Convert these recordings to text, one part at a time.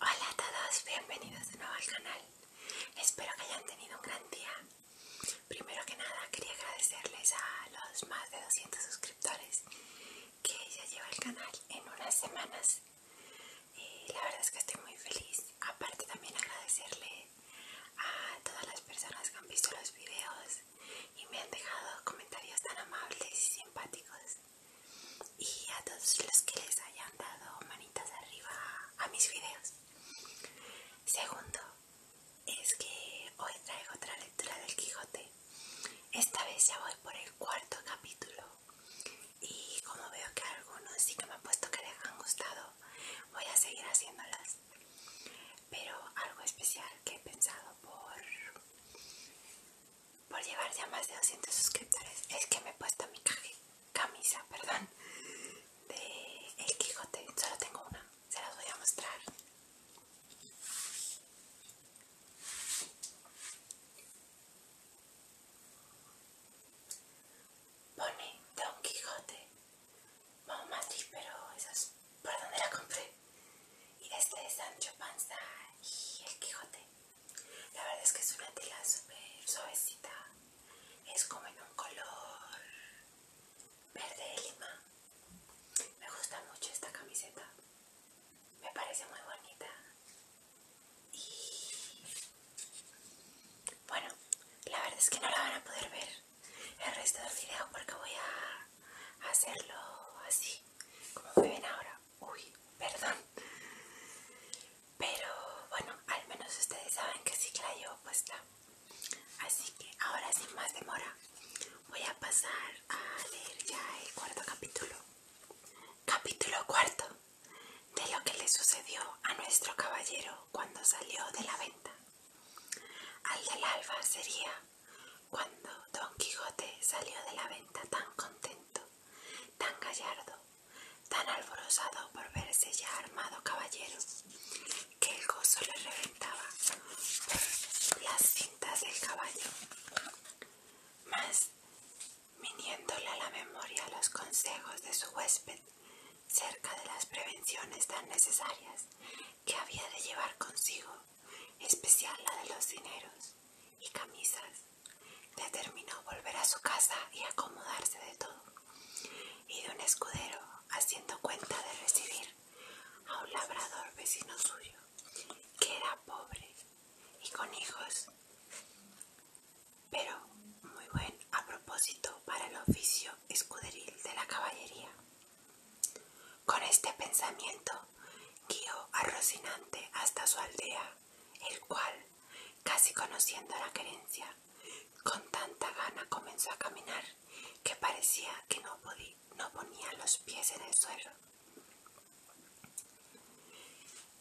Hola a todos, bienvenidos de nuevo al canal. Espero que hayan tenido un gran día. Primero que nada quería agradecerles a los más de 200 suscriptores que ya lleva el canal en unas semanas. Y eh, la verdad es que estoy muy feliz. Aparte también agradecerle a todas las personas que han visto los videos y me han dejado comentarios tan amables y simpáticos y a todos los que les hayan dado manitas arriba a mis videos. Segundo, es que hoy traigo otra lectura del Quijote. Esta vez ya voy por el cuarto capítulo y como veo que algunos sí que me han puesto que les han gustado, voy a seguir haciéndolas. Pero algo especial que he pensado por por llevar ya más de 200 suscriptores. Es que me he puesto mi camisa, perdón, de El Quijote. Solo tengo una, se las voy a mostrar. Pone Don Quijote. Vamos a Madrid, pero eso es por donde la compré. Y este desde Sancho Panza y El Quijote. La verdad es que es una tela súper suavecita. Es como en un color verde de lima. Me gusta mucho esta camiseta. Me parece muy bonita. Y bueno, la verdad es que no la van a poder ver el resto del video porque voy a hacerlo así, como pueden ven ahora uy, perdón. Pero bueno, al menos ustedes saben que sí que la llevo puesta. Así que ahora sin más demora, voy a pasar a leer ya el cuarto capítulo. Capítulo cuarto de lo que le sucedió a nuestro caballero cuando salió de la venta. Al del alba sería cuando Don Quijote salió de la venta tan contento, tan gallardo, tan alborozado por verse ya armado caballero, que el gozo le reventaba las cintas del caballo. Más, viniéndole a la memoria los consejos de su huésped cerca de las prevenciones tan necesarias que había de llevar consigo, especial la de los dineros y camisas, determinó volver a su casa y acomodarse de todo, y de un escudero, haciendo cuenta de recibir a un labrador vecino suyo, que era pobre y con hijos, pero muy buen a propósito para el oficio escuderil de la caballería. Con este pensamiento guió a Rocinante hasta su aldea el cual, casi conociendo la querencia, con tanta gana comenzó a caminar que parecía que no, podía, no ponía los pies en el suelo.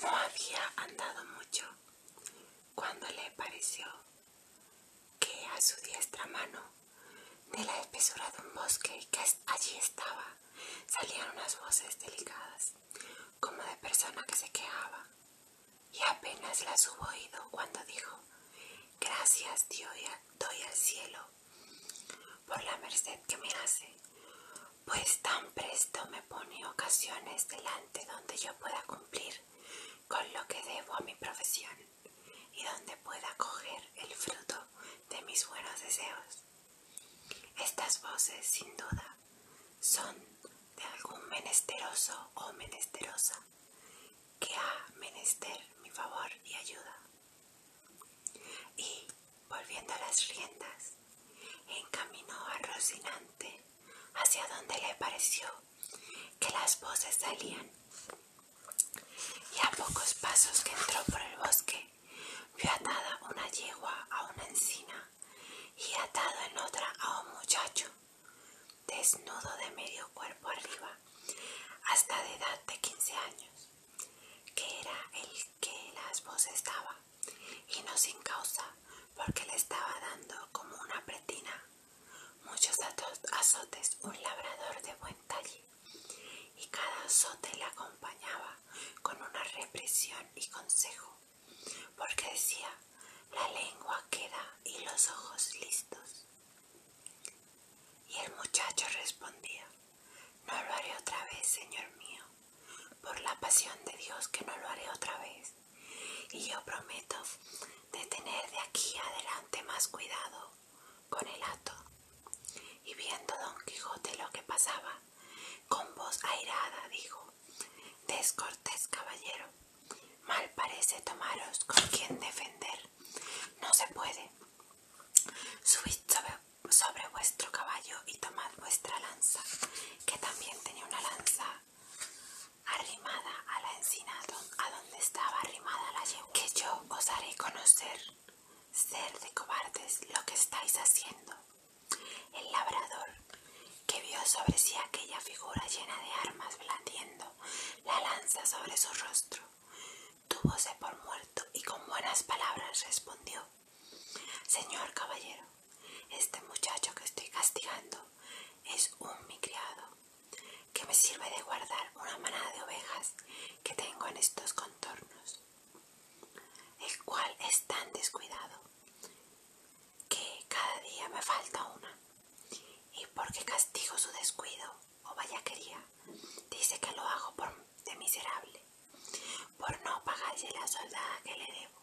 No había andado mucho cuando le pareció que a su diestra mano, de la espesura de un bosque que allí estaba, salían unas voces delicadas como de persona que se quejaba, y apenas las hubo oído cuando dijo, Gracias Dios doy al cielo por la merced que me hace, pues tan presto me pone ocasiones delante donde yo pueda cumplir con lo que debo a mi profesión y donde pueda coger el fruto de mis buenos deseos. Estas voces, sin duda, son de algún menesteroso o menesterosa que ha menester mi favor y ayuda. Y, volviendo a las riendas, encaminó a Rocinante hacia donde le pareció que las voces salían. Y a pocos pasos que entró por el bosque, vio atada una yegua a una encina y atado en otra a un muchacho, desnudo de medio cuerpo arriba, hasta de edad de 15 años, que era el que las voces daba, y no sin causa, porque le estaba dando como una pretina muchos azotes un labrador de buen talle, y cada azote le acompañaba con una represión y consejo porque decía, la lengua queda y los ojos listos. Y el muchacho respondía, no lo haré otra vez, Señor mío, por la pasión de Dios que no lo haré otra vez. Y yo prometo de tener de aquí adelante más cuidado con el hato. Y viendo don Quijote lo que pasaba, con voz airada dijo Descortés caballero, mal parece tomaros con quien defender, no se puede. Subid sobre, vuestro caballo y tomad vuestra lanza, que también tenía una lanza arrimada a la encina a donde estaba arrimada la yegua. Que yo os haré conocer, ser de cobardes, lo que estáis haciendo, el labrador, que vio sobre sí aquella figura llena de armas blandiendo la lanza sobre su rostro, túvose por muerto y con buenas palabras respondió Señor caballero, este muchacho que estoy castigando es un mi criado, que me sirve de guardar una manada de ovejas que tengo en estos contornos, el cual es tan descuidado que cada día me falta una y porque castigo su descuido o vayaquería dice que lo hago por de miserable por no pagarle la soldada que le debo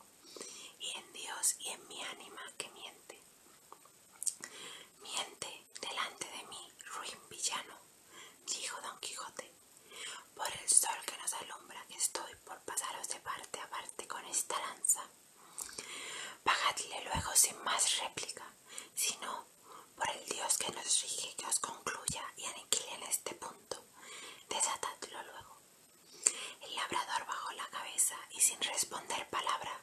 y en Dios y en mi ánima que miente miente delante de mí ruin villano dijo don Quijote por el sol que nos alumbra, que estoy por pasaros de parte a parte con esta lanza. Pagadle luego sin más réplica, sino por el Dios que nos rige, que os concluya y aniquile en este punto. Desatadlo luego. El labrador bajó la cabeza y sin responder palabra,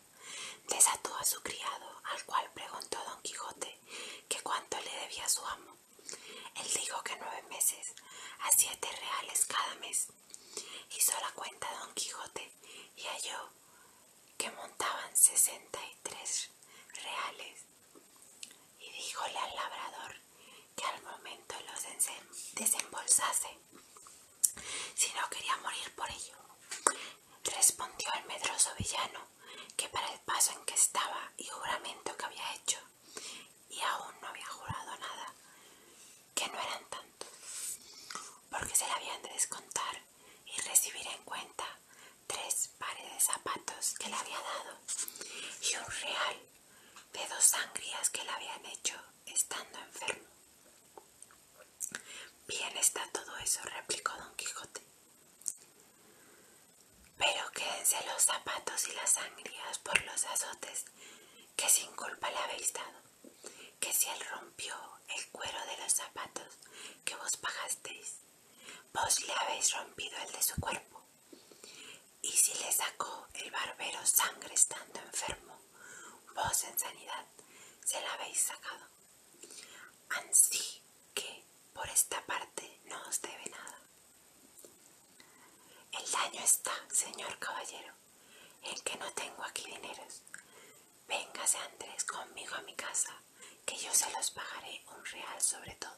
desató a su criado, al cual preguntó don Quijote que cuánto le debía su amo. Él dijo que nueve meses, a siete reales cada mes, Hizo la cuenta Don Quijote y halló que montaban sesenta y tres reales y díjole al labrador que al momento los desembolsase si no quería morir por ello. Respondió el medroso villano que para el paso en que estaba y juramento que había hecho y aún no había jurado nada, que no eran tantos, porque se le habían de descontar y recibir en cuenta tres pares de zapatos que le había dado y un real de dos sangrías que le habían hecho estando enfermo. Bien está todo eso, replicó don Quijote. Pero quédense los zapatos y las sangrías por los azotes que sin culpa le habéis dado, que si él rompió el cuero de los zapatos que vos pagasteis, vos le habéis rompido el de su cuerpo. Y si le sacó el barbero sangre estando enfermo, vos en sanidad se la habéis sacado. Así que por esta parte no os debe nada. El daño está, señor caballero, en que no tengo aquí dineros. Véngase Andrés conmigo a mi casa, que yo se los pagaré un real sobre todo.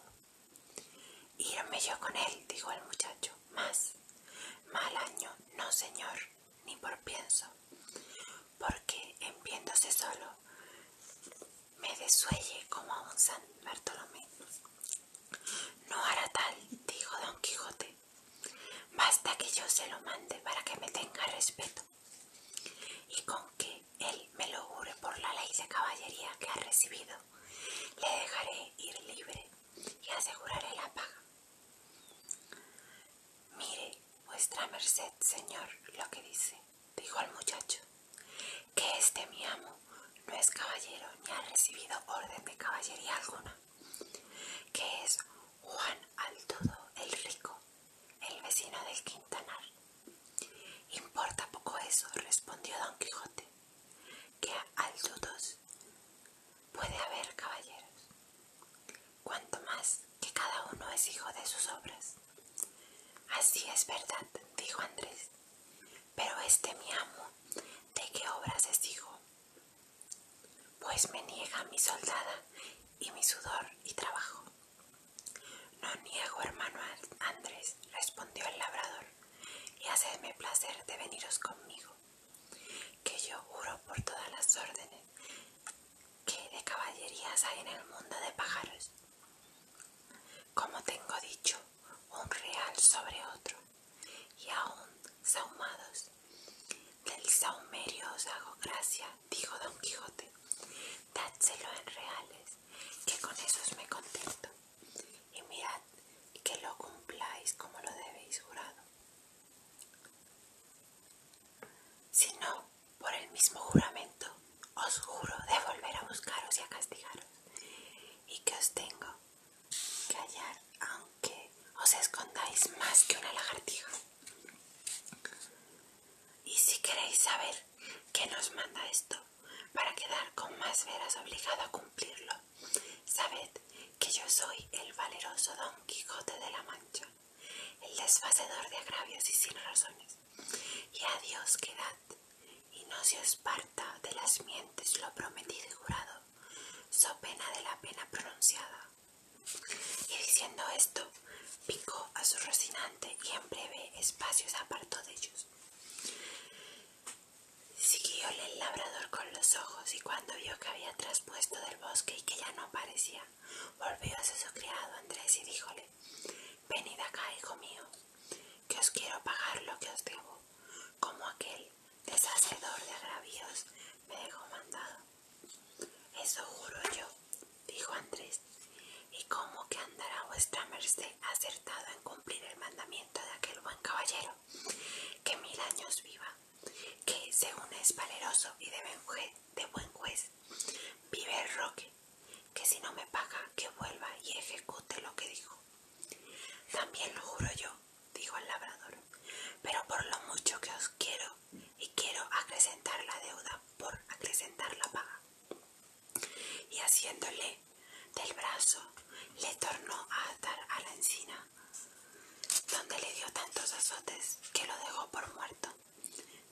Irme yo con él, dijo el muchacho, más. Mal año, no señor, ni por pienso, porque en viéndose solo me desuelle como a un San Bartolomé. No hará tal, dijo don Quijote, basta que yo se lo mande para que me tenga respeto y con que él me lo jure por la ley de caballería que ha recibido, le dejaré ir libre y aseguraré la paga. Mire, vuestra merced, señor, lo que dice, dijo el muchacho, que este mi amo no es caballero ni ha recibido orden de caballería alguna que es Juan Aldudo el Rico, el vecino del Quintanar. Importa poco eso, respondió don Quijote, que a Aldudos puede haber caballeros, cuanto más que cada uno es hijo de sus obras. Así es verdad, dijo Andrés, pero este mi amo, ¿de qué obras es hijo? pues me niega mi soldada y mi sudor y trabajo. No niego, hermano Andrés, respondió el labrador, y hacedme placer de veniros conmigo, que yo juro por todas las órdenes que de caballerías hay en el mundo de pájaros. Como tengo dicho, un real sobre otro, y aún sahumados. Del saumerio os hago gracia, dijo don Quijote, dádselo en reales, que con esos me contento, y mirad que lo cumpláis como lo debéis jurado. Si no, por el mismo juramento, os juro de volver a buscaros y a castigaros, y que os tengo callar aunque os escondáis más que una lagartija. Y si queréis saber qué nos manda esto, para quedar con más veras obligado a cumplirlo, sabed que yo soy el valeroso Don Quijote de la Mancha, el desfacedor de agravios y sin razones. Y a Dios quedad, y no se os parta de las mientes lo prometido y jurado so pena de la pena pronunciada. Y diciendo esto, picó a su rocinante y en breve espacios apartó de ellos. Siguióle el labrador con los ojos y cuando vio que había traspuesto del bosque y que ya no aparecía, volvió a su criado Andrés y díjole, venid acá, hijo mío, que os quiero pagar lo que os debo, como aquel deshacedor de agravios, me dejó mandado. Eso juro yo, dijo Andrés, y cómo que andará vuestra merced acertado en cumplir el mandamiento de aquel buen caballero, que mil años viva, que según es valeroso y de de buen juez vive el roque, que si no me paga, que vuelva y ejecute lo que dijo. También lo juro yo, dijo el labrador, pero por lo mucho que os quiero y quiero acrecentar la deuda por acrecentar la paga. Y haciéndole del brazo, le tornó a atar a la encina, donde le dio tantos azotes que lo dejó por muerto.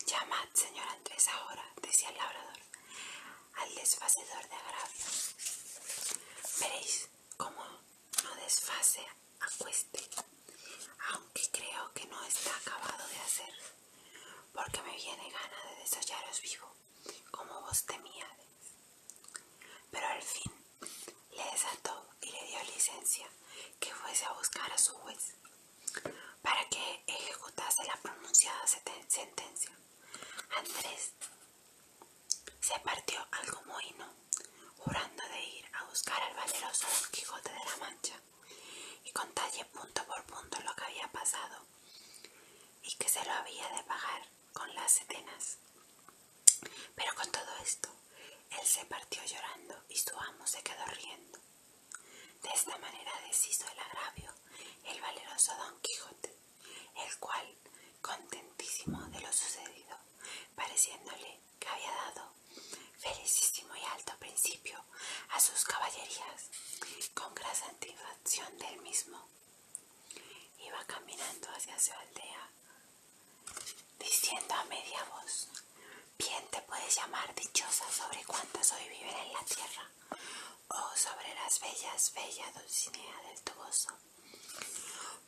Llamad, señor Andrés, ahora, decía el labrador, al desfacedor de agravios. Veréis cómo no desfase a cueste, aunque creo que no está acabado de hacer, porque me viene gana de desollaros vivo, como vos temíades. Pero al fin le desató y le dio licencia que fuese a buscar a su juez, para que ejecutase la pronunciada sentencia. Andrés se partió algo mohíno, jurando de ir a buscar al valeroso Don Quijote de la Mancha y contalle punto por punto lo que había pasado y que se lo había de pagar con las setenas. Pero con todo esto, él se partió llorando y su amo se quedó riendo. De esta manera deshizo el agravio el valeroso Don Quijote, el cual contentísimo de lo sucedido, pareciéndole que había dado felicísimo y alto principio a sus caballerías, con gran satisfacción del mismo. Iba caminando hacia su aldea, diciendo a media voz, bien te puedes llamar dichosa sobre cuántas hoy viven en la tierra, o oh sobre las bellas, bella Dulcinea del Toboso,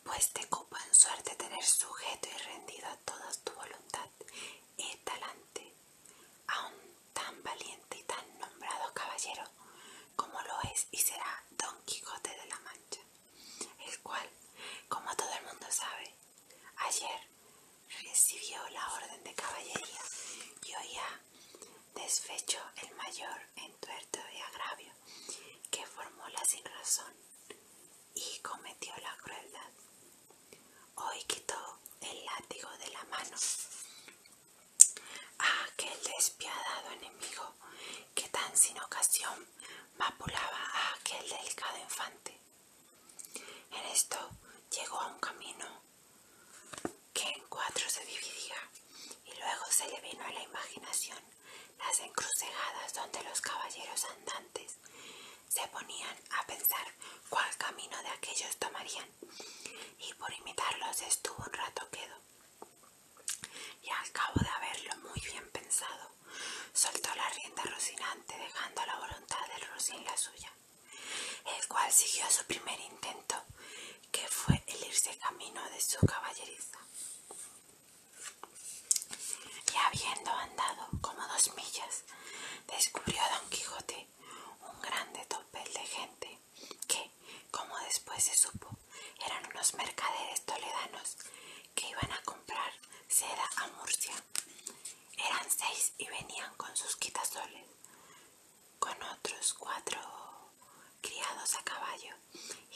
pues te copa en suerte tener sujeto y rendido a toda tu voluntad y talante a un tan valiente y tan nombrado caballero como lo es y será Don Quijote de la Mancha, el cual, como todo el mundo sabe, ayer recibió la orden de caballería y hoy ha desfecho el mayor tuerto de agravio que formó sin razón y cometió la crueldad. Hoy quitó el látigo de la mano a aquel despiadado enemigo que tan sin ocasión mapulaba a aquel delicado infante. En esto llegó a un camino que en cuatro se dividía y luego se le vino a la imaginación las encrucijadas donde los caballeros andantes se ponían a pensar cuál camino de aquellos tomarían, y por imitarlos estuvo un rato quedo. Y al cabo de haberlo muy bien pensado, soltó la rienda Rocinante dejando la voluntad del Rocín la suya, el cual siguió su primer intento, que fue el irse camino de su caballeriza. Y habiendo andado como dos millas, descubrió Don Quijote un grande topel de gente que, como después se supo, eran unos mercaderes toledanos que iban a comprar seda a Murcia. Eran seis y venían con sus quitasoles, con otros cuatro criados a caballo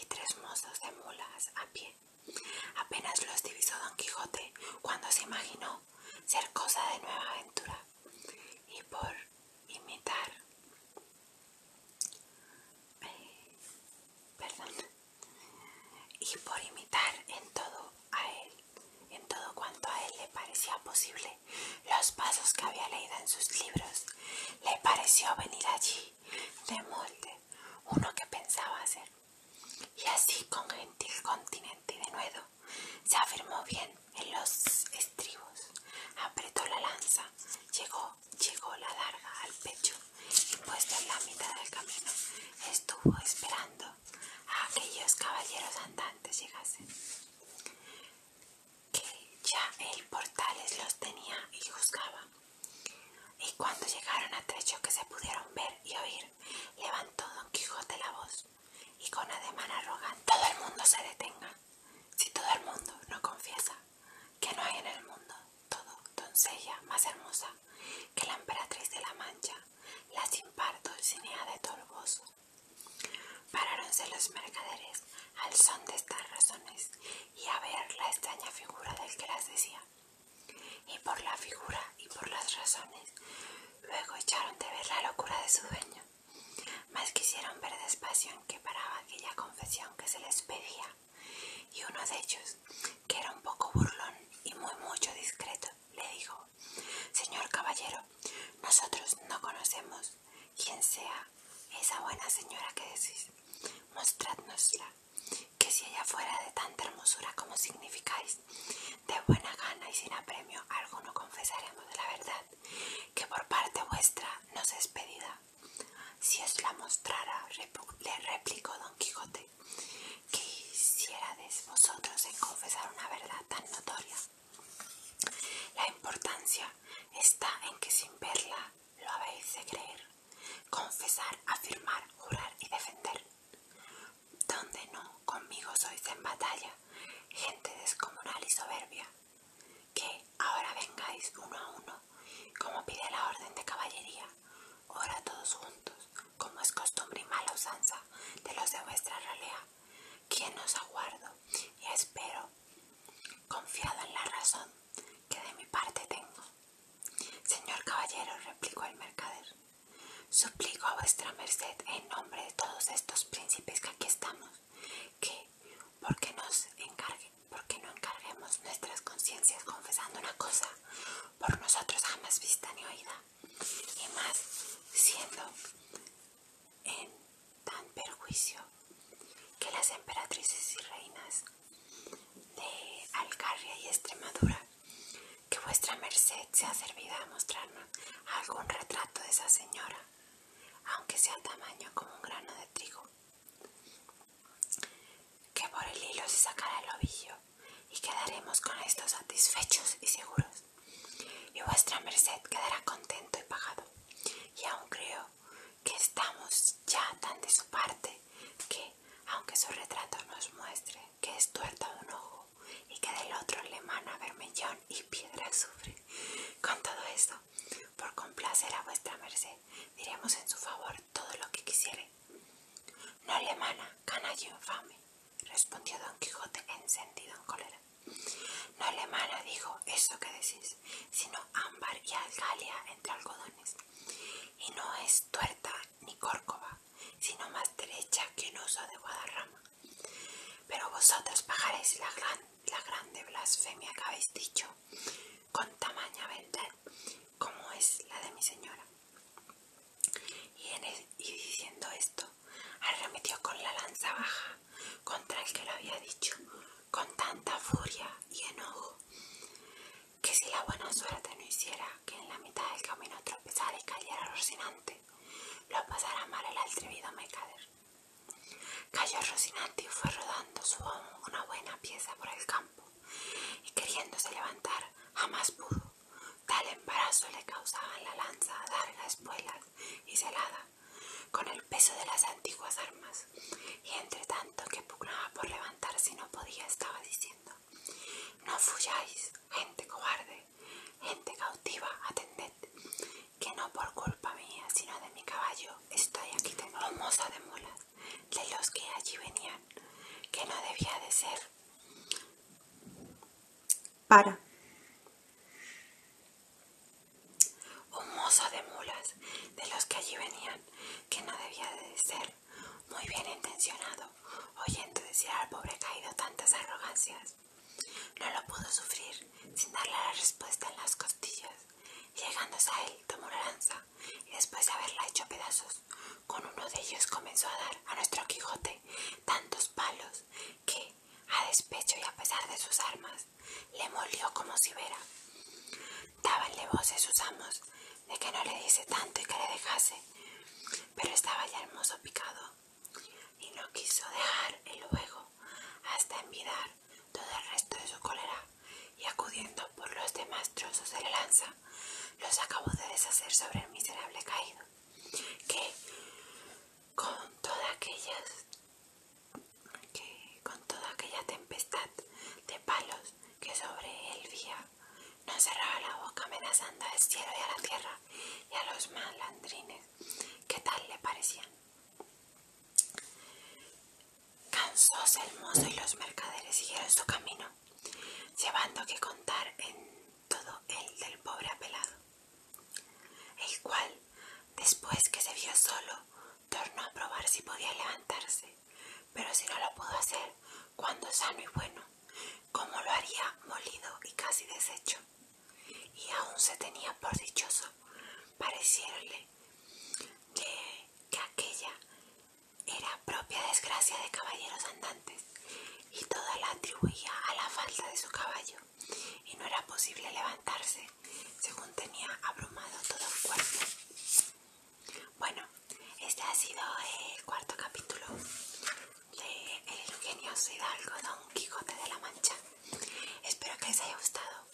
y tres mozos de mulas a pie. Apenas los divisó Don Quijote cuando se imaginó ser cosa de nueva aventura y por imitar eh, perdón y por imitar en todo a él en todo cuanto a él le parecía posible los pasos que había leído en sus libros le pareció venir allí de molde uno que pensaba hacer. Y así con gentil continente de nuevo se afirmó bien en los estribos, apretó la lanza, llegó, llegó la larga al pecho y puesta en la mitad del camino estuvo esperando a aquellos caballeros andantes llegasen, que ya el portales los tenía y juzgaba y cuando llegaron a trecho que se pudieron ver y oír, levantó don Quijote la voz y con ademán arrogante, todo el mundo se detenga. Si todo el mundo no confiesa que no hay en el mundo todo doncella más hermosa que la emperatriz de la Mancha, la sin par Dulcinea de torboso Paráronse los mercaderes al son de estas razones y a ver la extraña figura del que las decía. Y por la figura y por las razones, luego echaron de ver la locura de su dueño, Más quisieron ver despacio en qué paraba aquella confesión que se les pedía. Y uno de ellos, que era un poco burlón y muy mucho discreto, le dijo, Señor caballero, nosotros no conocemos quién sea esa buena señora que decís. Mostradnosla que si ella fuera de tanta hermosura como significáis, de buena gana y sin apremio algo no confesaremos de la verdad, que por parte vuestra nos es pedida. Si os la mostrara, le replicó don Quijote, ¿qué hicierades vosotros en confesar una verdad tan notoria. La importancia está en que sin verla lo habéis de creer, confesar, afirmar, jurar y defender. Donde no, conmigo sois en batalla, gente descomunal y soberbia, que ahora vengáis uno a uno, como pide la orden de caballería, ora todos juntos, como es costumbre y mala usanza de los de vuestra ralea, quien os aguardo y espero, confiado en la razón que de mi parte tengo. Señor caballero, replicó el mercader, suplico a vuestra merced en nombre de todos estos príncipes que aquí estamos, que, porque, nos encargue, porque no encarguemos nuestras conciencias confesando una cosa por nosotros jamás vista ni oída, y más siendo en tan perjuicio que las emperatrices y reinas de Alcarria y Extremadura, que vuestra merced sea servida a mostrarnos algún retrato de esa señora, aunque sea tamaño como un grano de trigo, que por el hilo se sacará el ovillo y quedaremos con esto satisfechos y seguros, y vuestra merced quedará contento y pagado, y aún creo que estamos ya tan de su parte que aunque su retrato nos muestre que es tuerta un ojo y que del otro le mana vermellón y piedra azufre. Con todo esto, por complacer a vuestra merced, diremos en su favor todo lo que quisiere. No le mana, canallo infame, respondió don Quijote encendido en cólera. No le mana, dijo, eso que decís, sino ámbar y algalia entre algodones y no es tuerta ni córcova, sino más derecha que no uso de Guadarrama. Pero vosotros pagaréis la, gran, grande blasfemia que habéis dicho con tamaña verdad como es la de mi señora. y diciendo esto, arremetió con la lanza baja contra el que lo había dicho, con tanta furia y enojo que si la buena suerte no hiciera que en la mitad del camino tropezara y cayera Rocinante, lo pasara mal el atrevido mercader. Cayó Rocinante y fue rodando su amo una buena pieza por el campo, y queriéndose levantar, jamás pudo. Tal embarazo le causaban la lanza, las espuelas y celada, con el peso de las antiguas armas, y entre tanto que pugnaba por levantar, si no podía, estaba diciendo. No fuyáis, gente cobarde, gente cautiva, atended, que no por culpa mía, sino de mi caballo, estoy aquí tengo moza de mulas, de los que allí venían, que no debía de ser. Para. Un oh, mozo de mulas, de los que allí venían, que no debía de ser muy bien intencionado, oyendo decir al pobre caído tantas arrogancias. No lo pudo sufrir sin darle la respuesta en las costillas. Llegándose a él, tomó la lanza y después de haberla hecho pedazos, con uno de ellos comenzó a dar a nuestro Quijote tantos palos que, a despecho y a pesar de sus armas, le molió como si vera. Dabanle voces sus amos de que no le diese tanto y que le dejase, pero estaba ya hermoso picado y no quiso dejar el luego hasta envidar todo el resto de su cólera y acudiendo por los demás trozos de la lanza, los acabó de deshacer sobre el miserable caído, que con toda aquellas que con toda aquella tempestad de palos que sobre él vía no cerraba la boca amenazando al cielo y a la tierra y a los malandrines que tal le parecían. Cansóse el mozo y los mercaderes siguieron su camino, llevando que contar en todo el del pobre apelado, el cual, después que se vio solo, tornó a probar si podía levantarse pero si no lo pudo hacer cuando sano y bueno, ¿cómo lo haría molido y casi deshecho? Y aún se tenía por dichoso pareciéronle que, que aquella era propia desgracia de caballeros andantes y toda la atribuía a la falta de su caballo y no era posible levantarse según tenía abrumado todo el cuerpo. Bueno, este ha sido el cuarto capítulo de El ingenioso hidalgo Don Quijote de la Mancha. Espero que les haya gustado,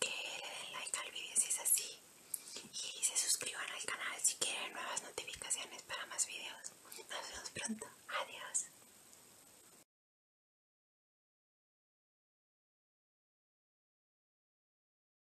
que le den like al video si es así y se suscriban al canal si quieren nuevas notificaciones para más vídeos. Nos vemos pronto. Adiós.